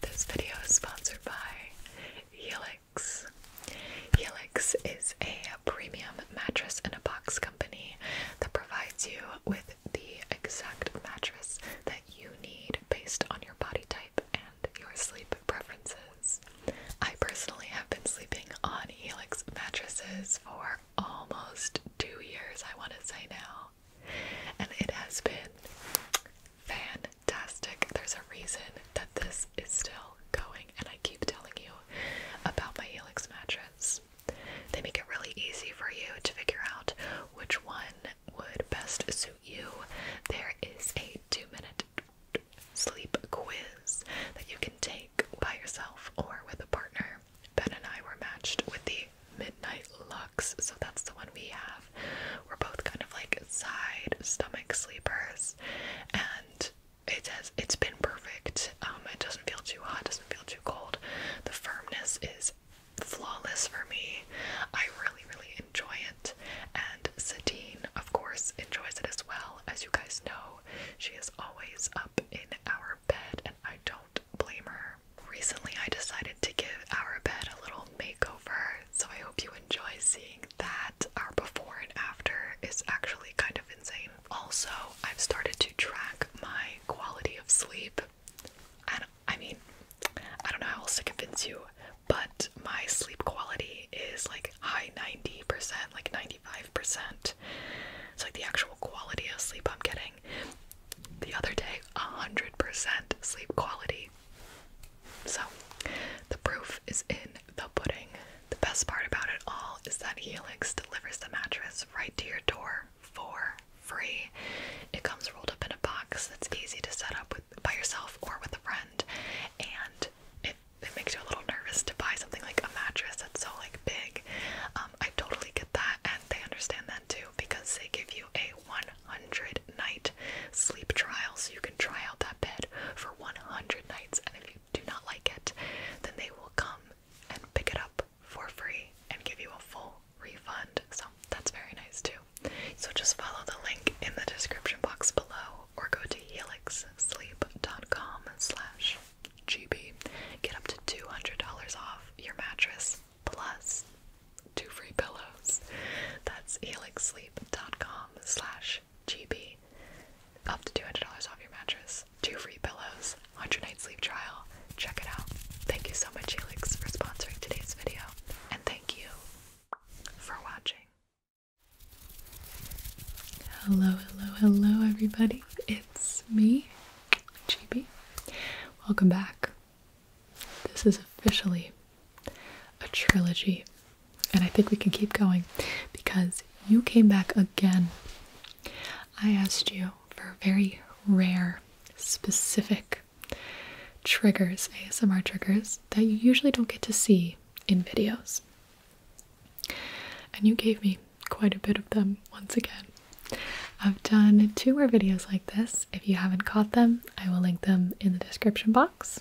This video is sponsored by Helix. Helix is a premium mattress and a box company that provides you with the exact mattress that you need based on your body type and your sleep preferences. I personally have been sleeping on Helix mattresses for almost two years, I want to say now and it has been fantastic. There's a reason that this is still going, and I keep telling you about my Helix mattress. They make it really easy for you to figure out which one would best suit you. There is a two minute sleep quiz that you can take by yourself or with a partner. Ben and I were matched with the Midnight Lux. So that's the one we have. We're both kind of like side stomach sleepers. And it it's been perfect. Um, it doesn't feel too hot, doesn't feel too cold. The firmness is flawless for me. I really, really enjoy it. And Satine, of course, enjoys it as well. As you guys know, she is always up in our bed, and I don't blame her recently I decided to give our bed a little makeover, so I hope you enjoy seeing that. Our before and after is actually kind of insane. Also, I've started to track my quality of sleep. And I mean, I don't know how else to convince you, but my sleep quality is like high 90%, like 95%. It's like the actual quality of sleep I'm getting. The other day, 100% sleep quality. So, the proof is in the pudding. The best part about it all is that Helix delivers the mattress right to your door for free. It comes rolled up in a box that's easy to set up with, by yourself or with a friend, and it, it makes you a little nervous to buy something like a mattress that's so like big. Um, I totally get that, and they understand that too because they give you a one 100 night sleep trial. So you can try out that bed for 100 nights, and if you do not like it, then they will come and pick it up for free and give you a full refund. So that's very nice too. So just follow the link in the description box below or go to helixsleep.com slash GB. Get up to $200 off your mattress plus two free pillows. That's helixsleep.com slash GB. Up to $200 off your mattress. Two free pillows. 100 night sleep trial. Check it out. Thank you so much, Helix, for sponsoring today's video. And thank you for watching. Hello, hello, hello, everybody. It's me, GB. Welcome back this is officially a trilogy, and I think we can keep going because you came back again. I asked you for very rare, specific triggers, ASMR triggers, that you usually don't get to see in videos. And you gave me quite a bit of them once again. I've done two more videos like this. If you haven't caught them, I will link them in the description box.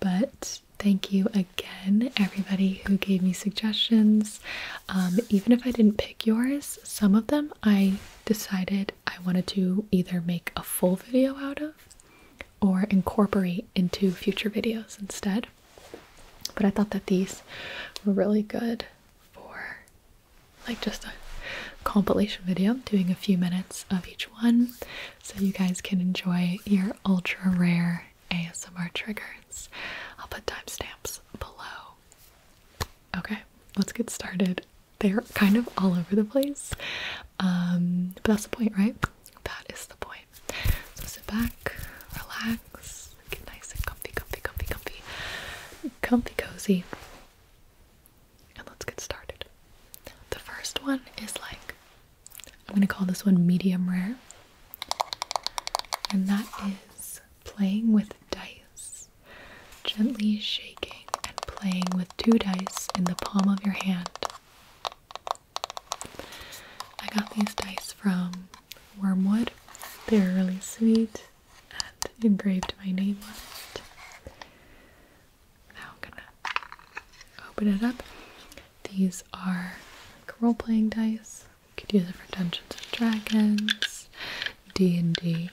But thank you again, everybody who gave me suggestions. Um, even if I didn't pick yours, some of them I decided I wanted to either make a full video out of or incorporate into future videos instead. But I thought that these were really good for like just a compilation video doing a few minutes of each one so you guys can enjoy your ultra rare ASMR triggers. I'll put timestamps below. Okay, let's get started. They're kind of all over the place, um, but that's the point, right? That is the point. So sit back, relax, get nice and comfy, comfy, comfy, comfy, comfy, cozy and let's get started. The first one is like, I'm gonna call this one medium rare, and that is playing with dice, gently shaking and playing with two dice in the palm of your hand. I got these dice from Wormwood, they're really sweet and engraved my name on it now I'm gonna open it up. These are role-playing dice. You could use it for Dungeons and Dragons, D and D.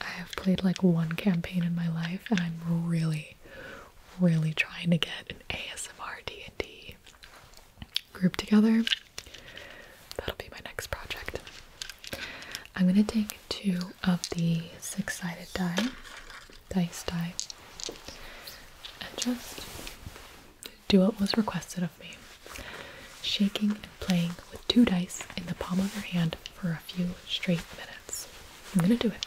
I have played like one campaign in my life, and I'm really, really trying to get an ASMR D and D group together. That'll be my next project. I'm gonna take two of the six-sided die, dice die, and just do what was requested of me, shaking and playing with two dice in the palm of her hand for a few straight minutes. I'm gonna do it.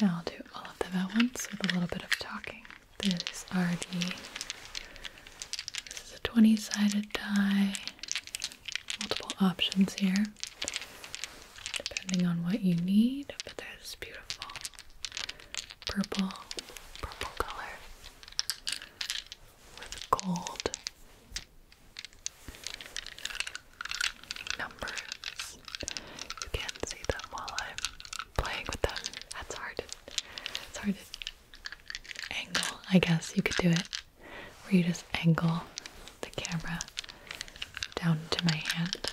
Now I'll do all of them at once with a little bit of talking. This is RD. this is a 20-sided die. Multiple options here, depending on what you need, but that is beautiful purple, purple color with gold numbers. You can't see them while I'm playing with them. That's hard. It's hard to angle. I guess you could do it where you just angle the camera down to my hand.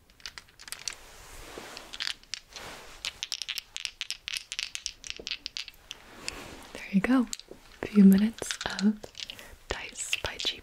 There you go. A few minutes of Dice by GB.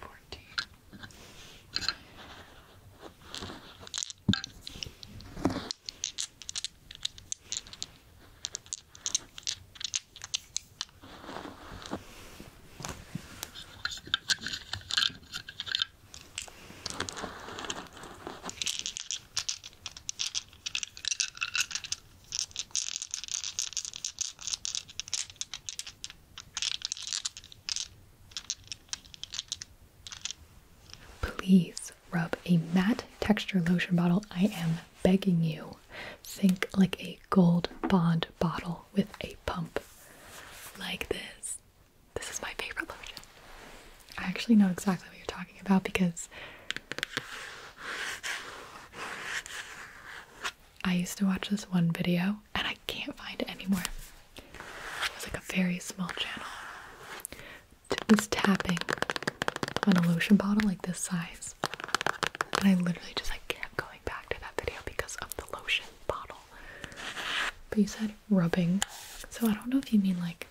Fourteen. Fifteen. Please rub a matte texture lotion bottle. I am begging you. Think like a gold bond bottle with a pump like this. This is my favorite lotion. I actually know exactly what you're talking about because I used to watch this one video and I can't find it anymore. It was like a very small channel. It was tapping on a lotion bottle like this size. And I literally just like kept going back to that video because of the lotion bottle. But you said rubbing. So I don't know if you mean like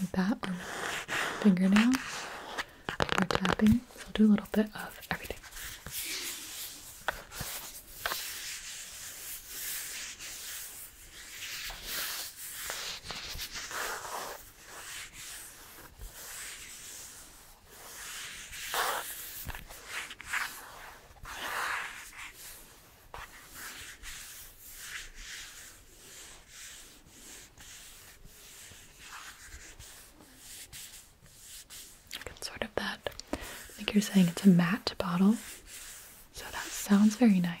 like that on my fingernail. Finger tapping. So i do a little bit of everything sort of that, like you're saying, it's a matte bottle. So that sounds very nice.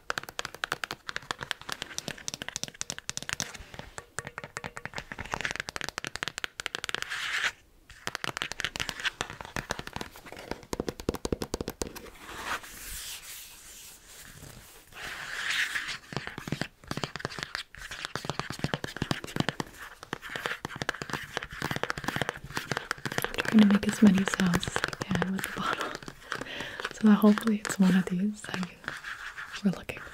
I'm trying to make as many sounds as I can with the bottle. So hopefully it's one of these that we, we're looking for.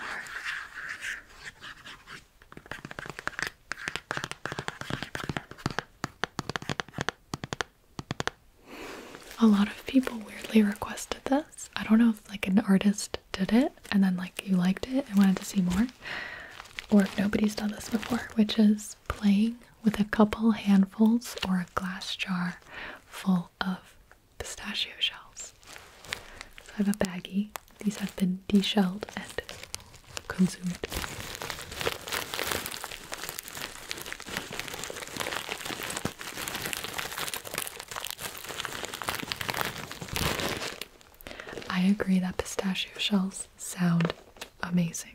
A lot of people weirdly requested this. I don't know if like an artist did it and then like you liked it and wanted to see more. Or if nobody's done this before, which is playing with a couple handfuls or a glass jar full of pistachio shells. So I have a baggie. These have been deshelled and consumed. I agree that pistachio shells sound amazing.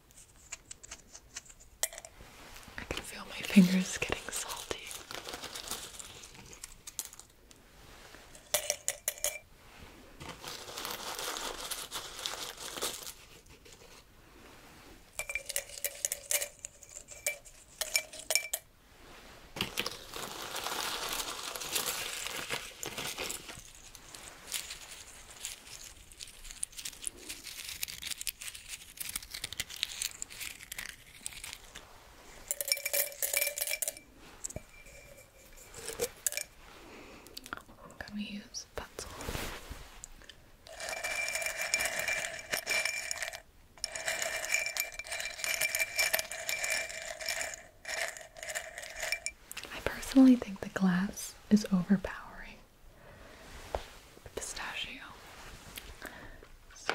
I can feel my fingers getting salty. I'm use pencil. I personally think the glass is overpowering pistachio. So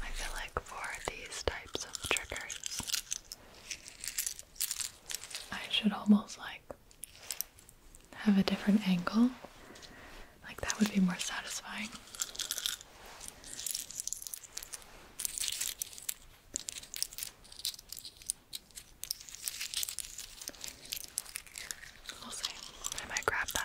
I feel like for these types of triggers, I should almost like have a different angle. Like that would be more satisfying. We'll see. I might grab that.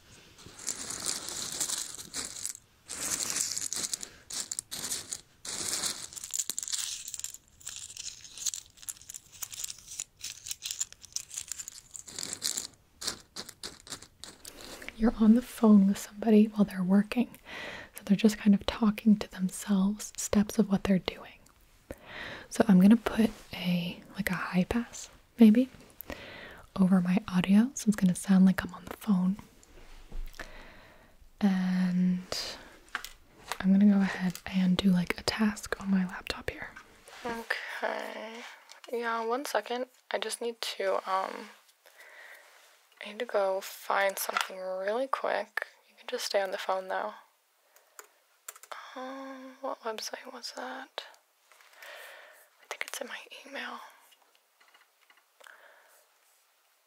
You're on the phone with somebody while they're working. So they're just kind of talking to themselves, steps of what they're doing. So I'm going to put a like a high pass maybe, over my audio, so it's gonna sound like I'm on the phone. And I'm gonna go ahead and do like a task on my laptop here. Okay. Yeah, one second. I just need to um I need to go find something really quick. You can just stay on the phone though. Oh, what website was that? I think it's in my email.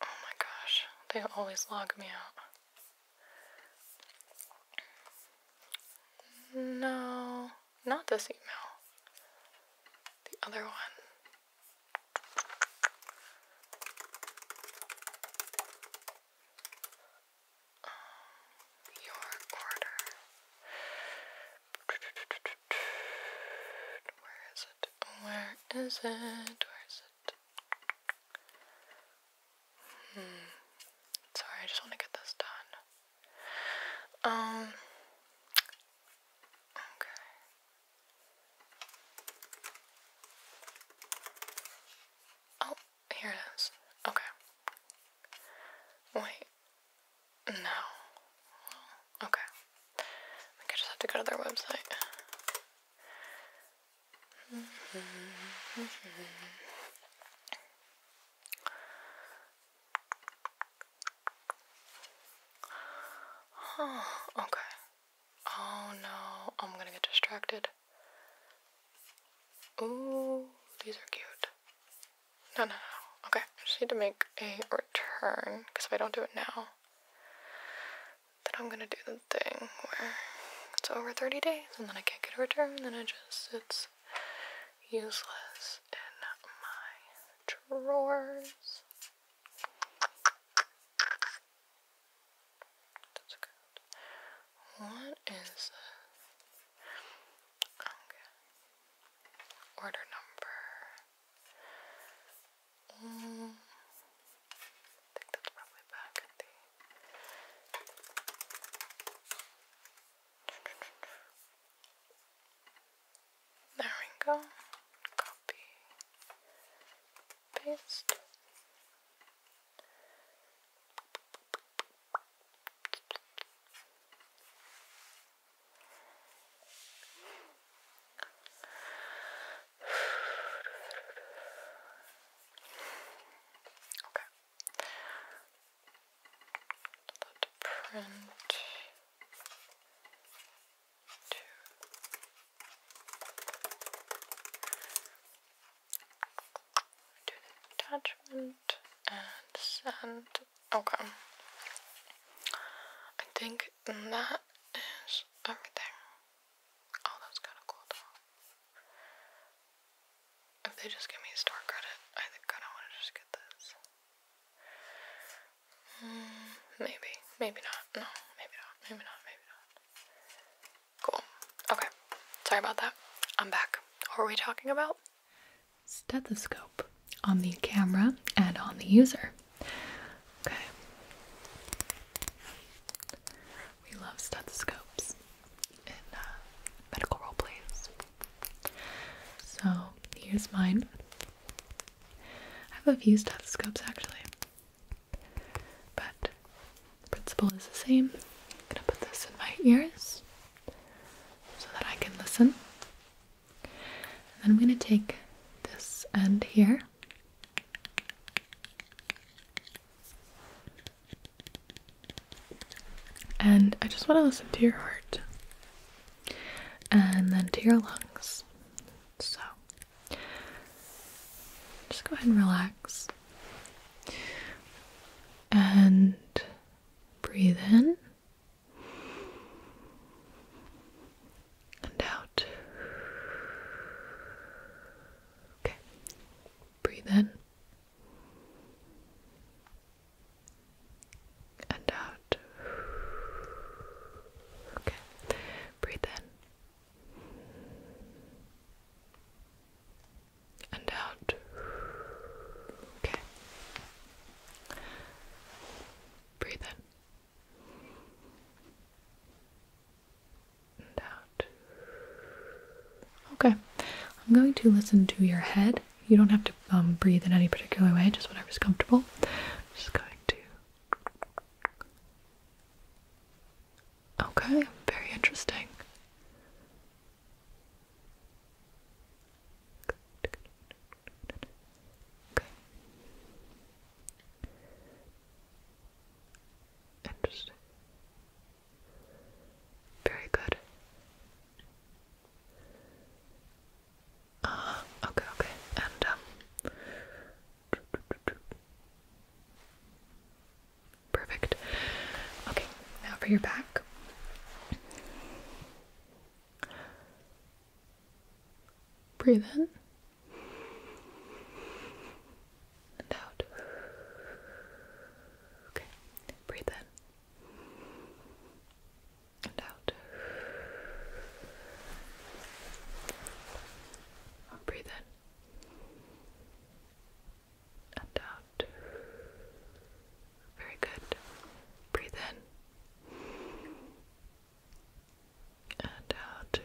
Oh my gosh, they always log me out. No, not this email. The other one. Um, your order. Where is it? Where is it? Where is it? Hmm. Sorry, I just want to get this done. Um. Okay. Oh, here it is. Okay. Wait. No. Okay. I just have to go to their website. Huh, okay. Oh no, I'm gonna get distracted. Ooh, these are cute. No, no, no. Okay, I just need to make a return because if I don't do it now, then I'm gonna do the thing where it's over 30 days and then I can't get a return, and then it just sits useless in my drawers. That's good. What is this? Order number. I think that's probably back at There we go. Copy. Paste. Okay. That print two. Do the attachment and send Okay. I think that is everything. Oh, that's kind of cool though. If they just give me store credit, I think I don't want to just get this. Mm, maybe. Maybe not. No, maybe not. Maybe not. Maybe not. Cool. Okay. Sorry about that. I'm back. What were we talking about? stethoscope on the camera and on the user. Okay. We love stethoscopes in uh, medical role plays. So here's mine. I have a few stethoscopes actually, but the principle is the same. I'm gonna put this in my ears so that I can listen. And I'm going to take this end here. And I just want to listen to your heart and then to your lungs. So just go ahead and relax and breathe in and out. Okay, breathe in and out. Okay, breathe in. And out. Okay. Breathe in and out. Okay, I'm going to listen to your head. You don't have to um, breathe in any particular way, just whatever's comfortable. just going to. Okay, very interesting. Okay. Interesting. Very good. Uh, okay, okay. And, um, perfect. Okay, now for your back. Breathe in and out. Okay, breathe in and out. Breathe in and out. Very good. Breathe in. And out.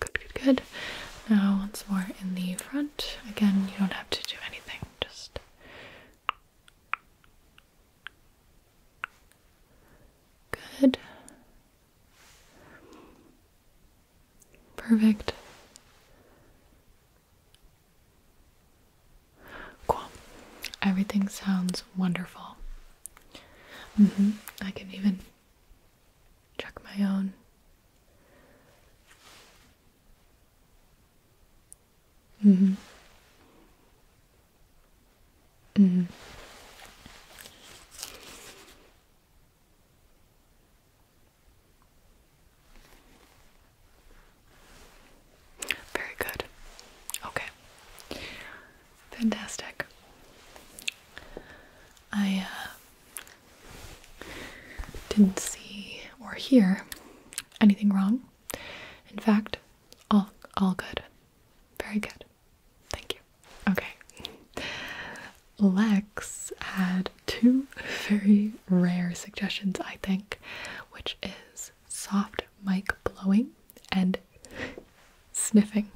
Good, good, good. Now, once more in the front. Again, you don't have to do anything, just. Good. Perfect. Cool. Everything sounds wonderful. Mm-hmm. I can even check my own. Mm-hmm. Mm-hmm. Very good. Okay. Fantastic. I uh, didn't see or hear anything wrong. In fact, all all good. Very good. Thank you. Okay. Lex had two very rare suggestions, I think, which is soft mic blowing and sniffing.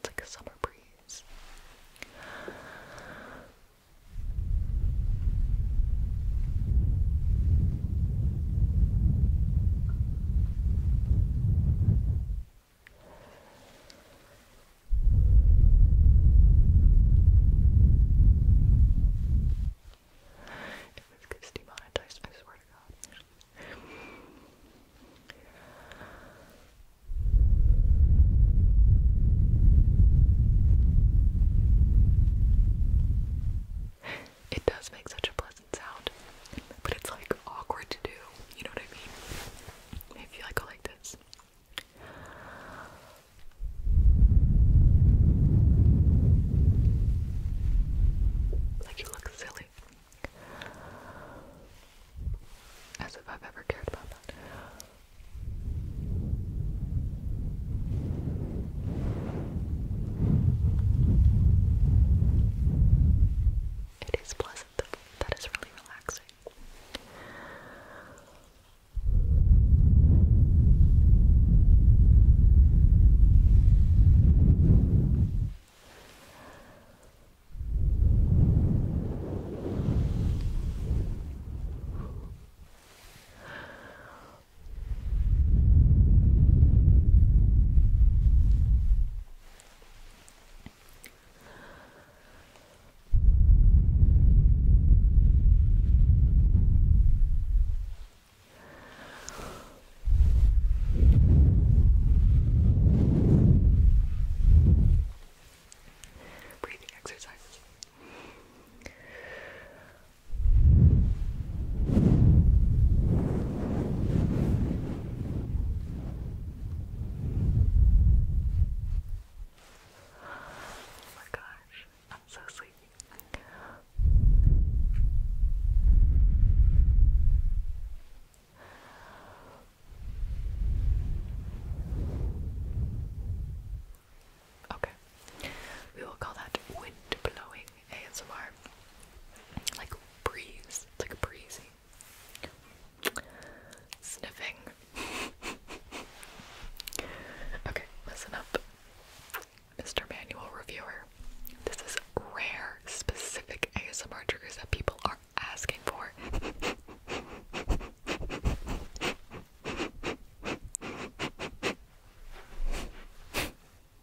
It's like a summer breeze. If this demonetized, I swear to God. It does make such a pleasant doesn't but it's like awkward to do. You know what I mean? Maybe I like this. Like you look silly. As if I've ever cared about that. It is pleasant. That is really relaxing. Breathing exercises. Breathing Oh my gosh, I'm so sleepy. Okay, we will call that wind blowing. ASMR. Like breeze. like breezy. Sniffing. okay, listen up. Mr. Manual Reviewer. This is rare, specific ASMR triggers that people are asking for.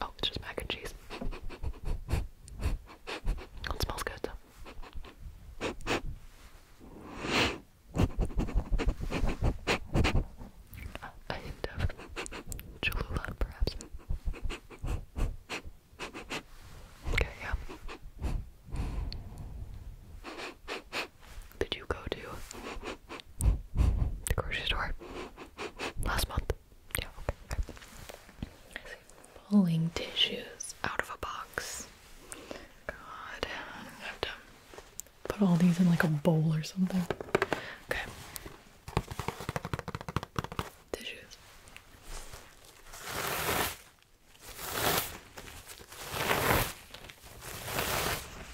Oh, it's just mac and cheese. It smells good though. A hint of perhaps. Okay, yeah. Did you go to the grocery store last month. Yeah, okay. Pulling tissues out of a box. God, I have to put all these in like a bowl or something. Okay. Tissues.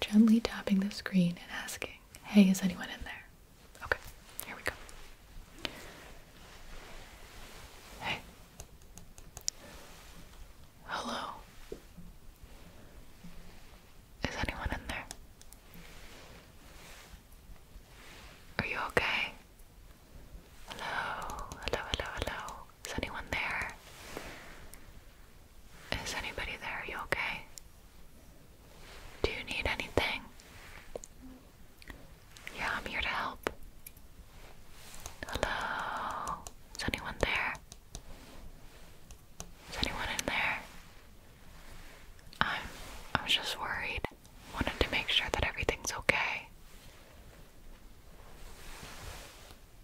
Gently tapping the screen and asking, hey, is anyone in there? Okay, here we go. Hey. Hello. Is anyone in there? Are you okay? Hello, hello, hello, hello. Is anyone there? Is anybody there? Are you okay? Do you need anything? Yeah, I'm here to help. Hello? Is anyone there? Is anyone in there? I'm I was just worried. Wanted to make sure that everything's okay.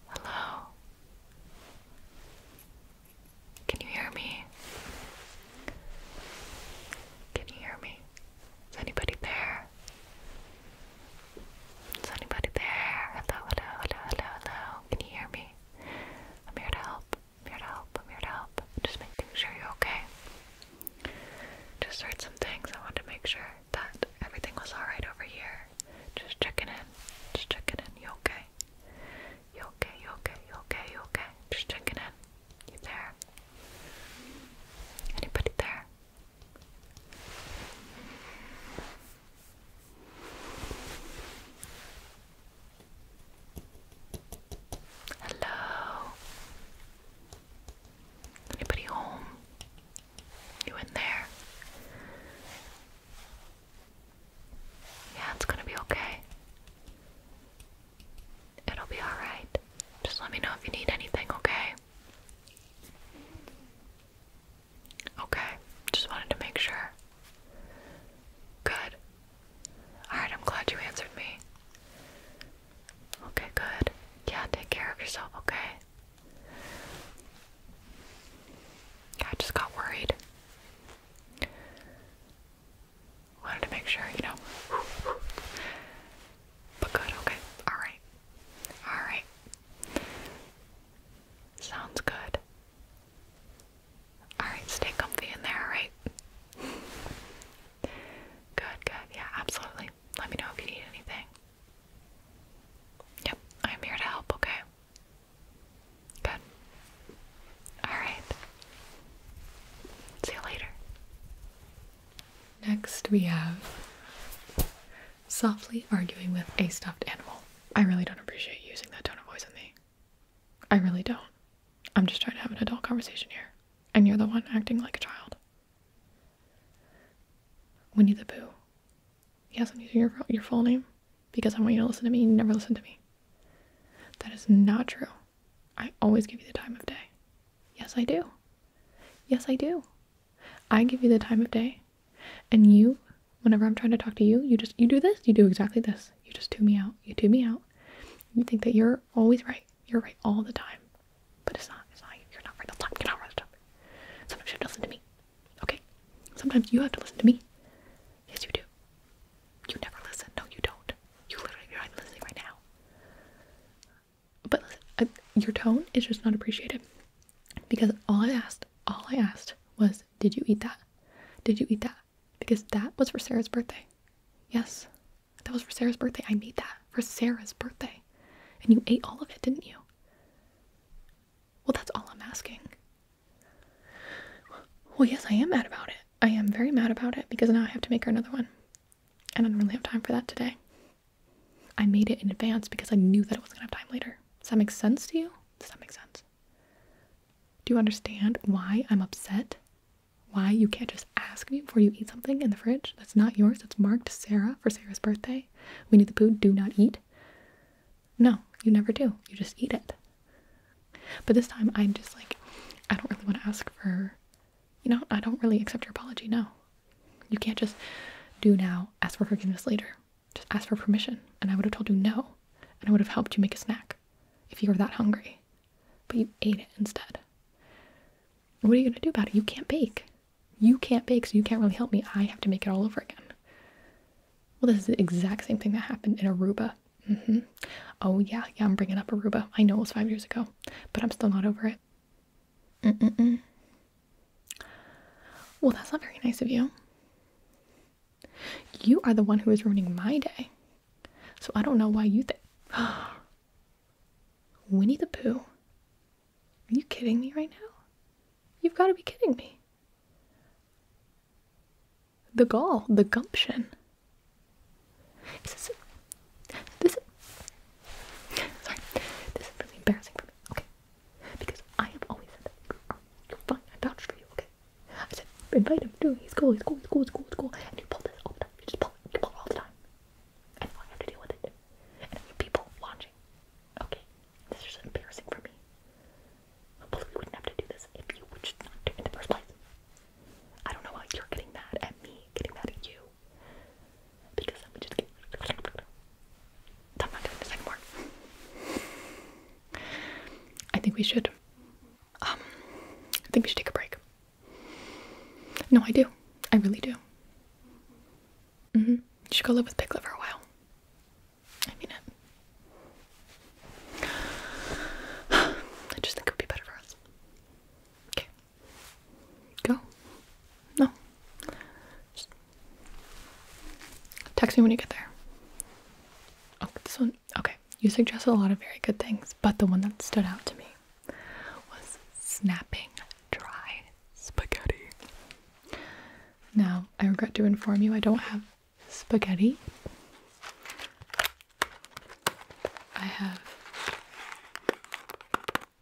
Hello? Can you hear me? Can you hear me? Is anybody there? Is anybody there? Hello, hello, hello, hello, hello. Can you hear me? I'm here to help. I'm here to help. I'm here to help. Just making sure you're okay. Just heard some things. I wanted to make sure that everything was alright over here. Just checking in. Just checking in. You okay? You okay? You okay? You okay? You okay? Just checking in. You there? Anybody there? Hello? Anybody home? You in there? Yeah, it's gonna be okay. It'll be alright. Just let me know if you need anything, okay? Okay, just wanted to make sure. Good. Alright, I'm glad you answered me. Okay, good. Yeah, take care of yourself, okay? I just got worried. Wanted to make sure, you know. But good, okay. Alright. Alright. Sounds good. Alright, stay comfy in there, alright? Good, good. Yeah, absolutely. Let me know if you need anything. Yep, I'm here to help, okay? Good. Alright. See you later. Next, we have softly arguing with a stuffed animal. I really don't appreciate using that tone of voice with me. I really don't. I'm just trying to have an adult conversation here, and you're the one acting like a child. Winnie the Pooh. Yes, I'm using your, your full name because I want you to listen to me. You never listen to me. That is not true. I always give you the time of day. Yes, I do. Yes, I do. I give you the time of day, and you, whenever I'm trying to talk to you, you just you do this. You do exactly this. You just tune me out. You tune me out. You think that you're always right. You're right all the time, but it's not. It's not. You're not right all the time. You're not right all the time. Sometimes you have to listen to me. Okay. Sometimes you have to listen to me. Yes, you do. You never listen. No, you don't. You literally you're not listening right now. But uh, your tone is just not appreciated because all I asked, all I asked was, "Did you eat that? Did you eat that?" Because that was for Sarah's birthday. Yes, that was for Sarah's birthday. I made that for Sarah's birthday, and you ate all of it, didn't you? Well, that's all I'm asking. Well, yes, I am mad about it. I am very mad about it because now I have to make her another one. And I do not really have time for that today. I made it in advance because I knew that it wasn't gonna have time later. Does that make sense to you? Does that make sense? Do you understand why I'm upset? Why you can't just ask me before you eat something in the fridge that's not yours, It's marked Sarah for Sarah's birthday? We need the food, do not eat. No, you never do. You just eat it. But this time I'm just like, I don't really want to ask for you know, I don't really accept your apology. No, you can't just do now, ask for forgiveness later. Just ask for permission. And I would have told you no, and I would have helped you make a snack if you were that hungry. But you ate it instead. What are you going to do about it? You can't bake. You can't bake, so you can't really help me. I have to make it all over again. Well, this is the exact same thing that happened in Aruba. Mm-hmm. Oh, yeah, yeah, I'm bringing up Aruba. I know it was five years ago, but I'm still not over it. Well, that's not very nice of you. You are the one who is ruining my day. So I don't know why you think. Winnie the Pooh? Are you kidding me right now? You've got to be kidding me. The gall, the gumption. This is this is sorry. This is really embarrassing for me, okay? Because I have always said that you are, fine. I vouched for you, okay? I said invite him, do He's cool. He's cool. He's cool. He's cool. He's cool. And you pull this all the time. You just pull it. You pull it all the time. And I have to deal with it. And people watching, okay? This is embarrassing for me. Hopefully we wouldn't have to do this if you would just not do it in the first place. I don't know why you're getting mad at me, getting mad at you. Because I'm just kidding. I'm not doing this anymore. I think we should. Um, I think we should take a break. No, I do. I really do. Mm hmm. You should go live with Piglet for a while. I mean it. I just think it would be better for us. Okay. Go. No. Just text me when you get there. Oh, this one. Okay. You suggested a lot of very good things, but the one that stood out to me was snapping dry spaghetti. Now, I regret to inform you I don't have spaghetti. I have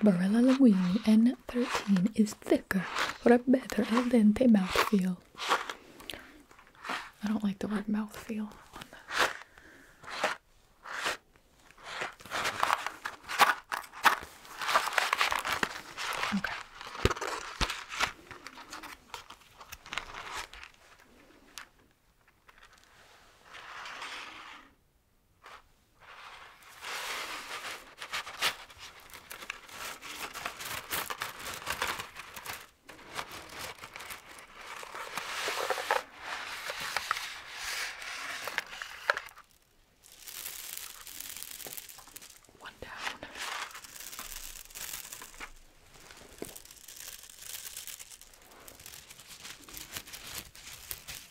Barilla Linguini N13 is thicker for a better al dente mouthfeel. I don't like the word mouthfeel on this. Okay. One down.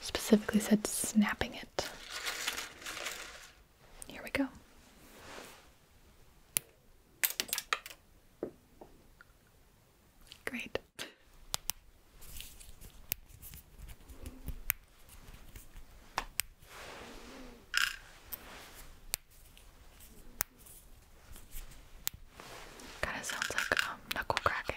Specifically said snapping it. Here we go. Great. Kind of sounds like um, knuckle cracking.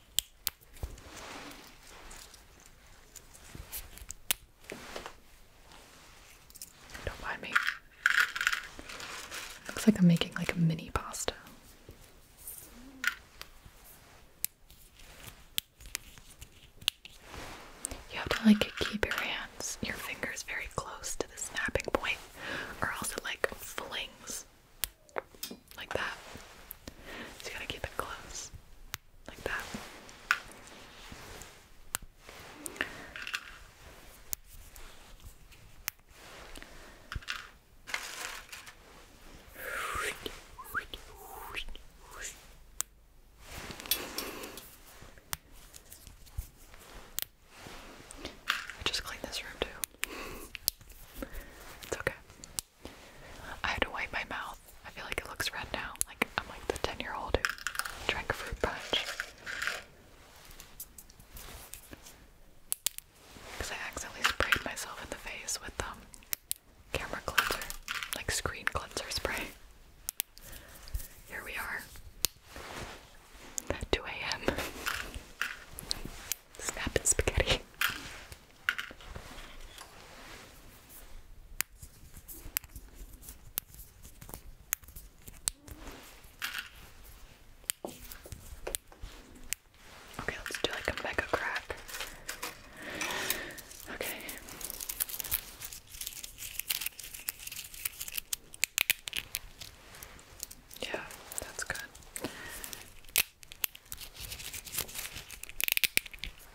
Don't mind me. Looks like I'm making like a mini pasta. You have to like keep your hands, your fingers very close to the snapping point, or else it like flings like that. you gotta keep it close. Like that. I just cleaned this room too it's okay. I had to wipe my mouth. I feel like it looks red now. Like I'm like the 10 year old who drank a fruit punch. Because I accidentally sprayed myself in the face with um camera cleanser, like screen cleanser spray. Here we are. 2 a.m. Snap and spaghetti. Okay, let's do like a mega crack. Okay. Yeah, that's good.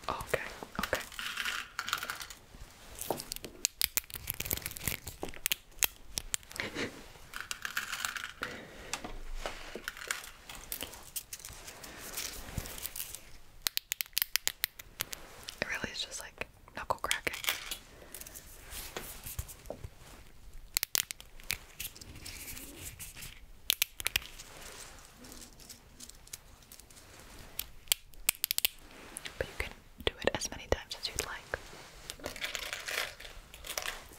Okay, okay. it really is just like knuckle cracking. But you can do it as many times as you'd like.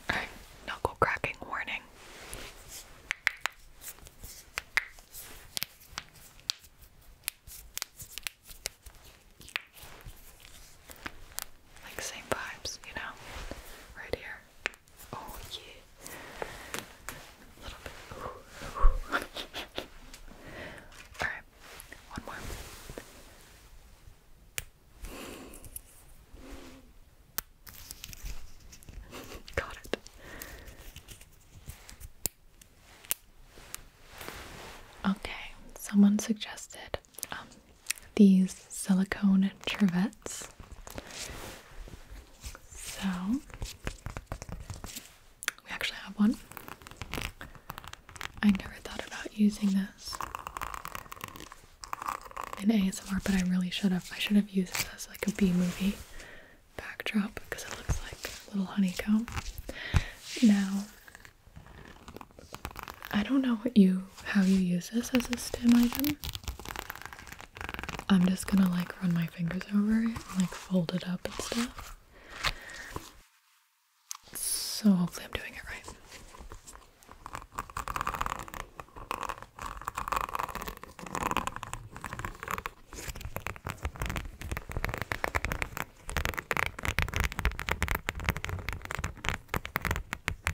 Alright, knuckle cracking warning. Like same vibes, you know? Right here. Oh yeah. A little bit. Alright, one more. Got it. Okay, someone suggested um, these silicone trevettes. So we actually have one. I never thought about using this in ASMR, but I really should have. I should have used this as like a B movie backdrop because it looks like a little honeycomb. Now, I don't know what you how you use this as a STEM item. I'm just gonna like run my fingers over it and like fold it up and stuff. So hopefully I'm doing it right.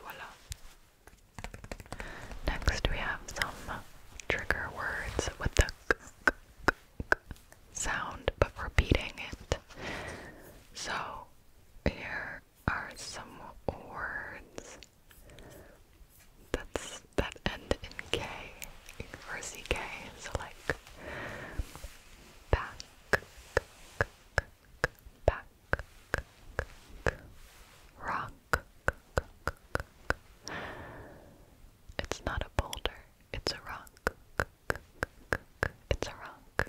Voila. Next, we have some trigger words with the k, sound, but repeating it. So, here are some words that's that end in K or CK. So like back, back, rock. It's not a boulder. It's a rock. It's a rock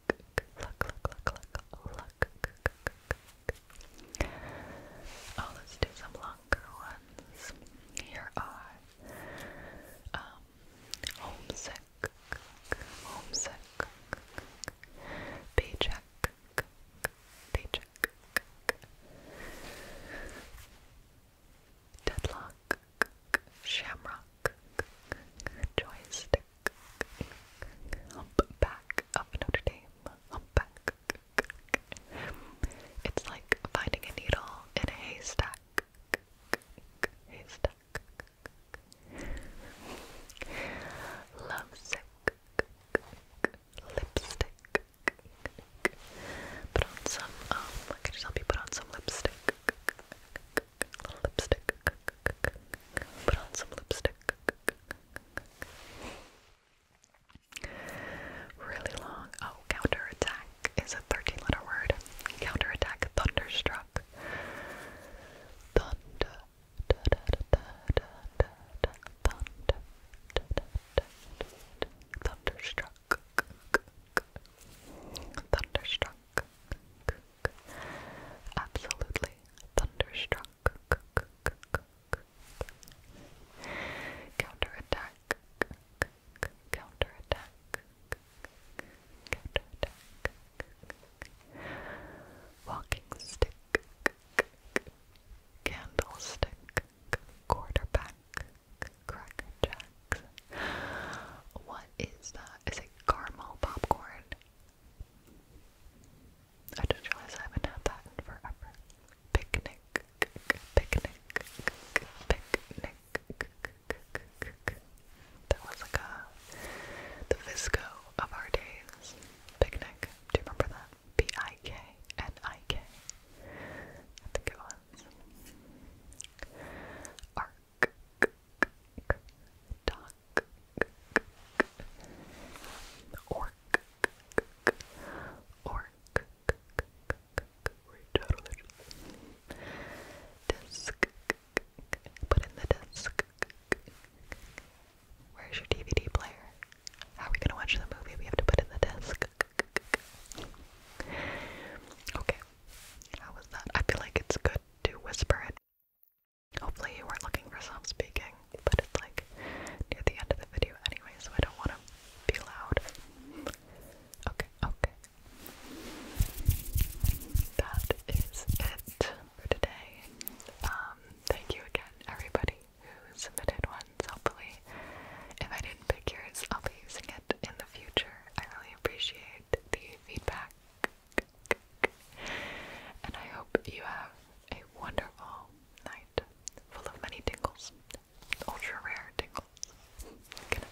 Look, look, look, look, look. Oh, let's do some longer ones. Here are um, homesick, homesick, paycheck, paycheck, deadlock, shamrock, joystick. Humpback of Notre Dame. Humpback. It's like finding a needle in a haystack. Haystack. Lovesick. Lipstick. Put on some, um, I could help you put on some lipstick. Lipstick. Put on some lipstick. Really long. Oh, counterattack is a 13 letter word. Counterattack, thunderstruck. thunderstruck. Thunderstruck. Absolutely thunderstruck. Counterattack. Counterattack. Counterattack. Walking stick. Candlestick. Quarterback. Cracker What is that? Is it caramel popcorn? I didn't realize I haven't had that in forever. Picnic, picnic, picnic. That was like a the Visco of our days. Picnic. Do you remember that? P I K N I K. I think it was. Art duck, orc, orc, disc, put in the disc. Where's your DVD player? How are we gonna watch the movie? We have to put in the desk. Okay, how was that? I feel like it's good to whisper it Hopefully you weren't looking for self-speaking, but it's like near the end of the video anyway, so I don't want to be loud. Okay, okay. That is it for today. Um, thank you again, everybody who submitted ones. Hopefully, if I didn't pick yours, I'll be using it in the future. I really appreciate the feedback and I hope you have a wonderful night full of many tingles, ultra rare tingles. Good night.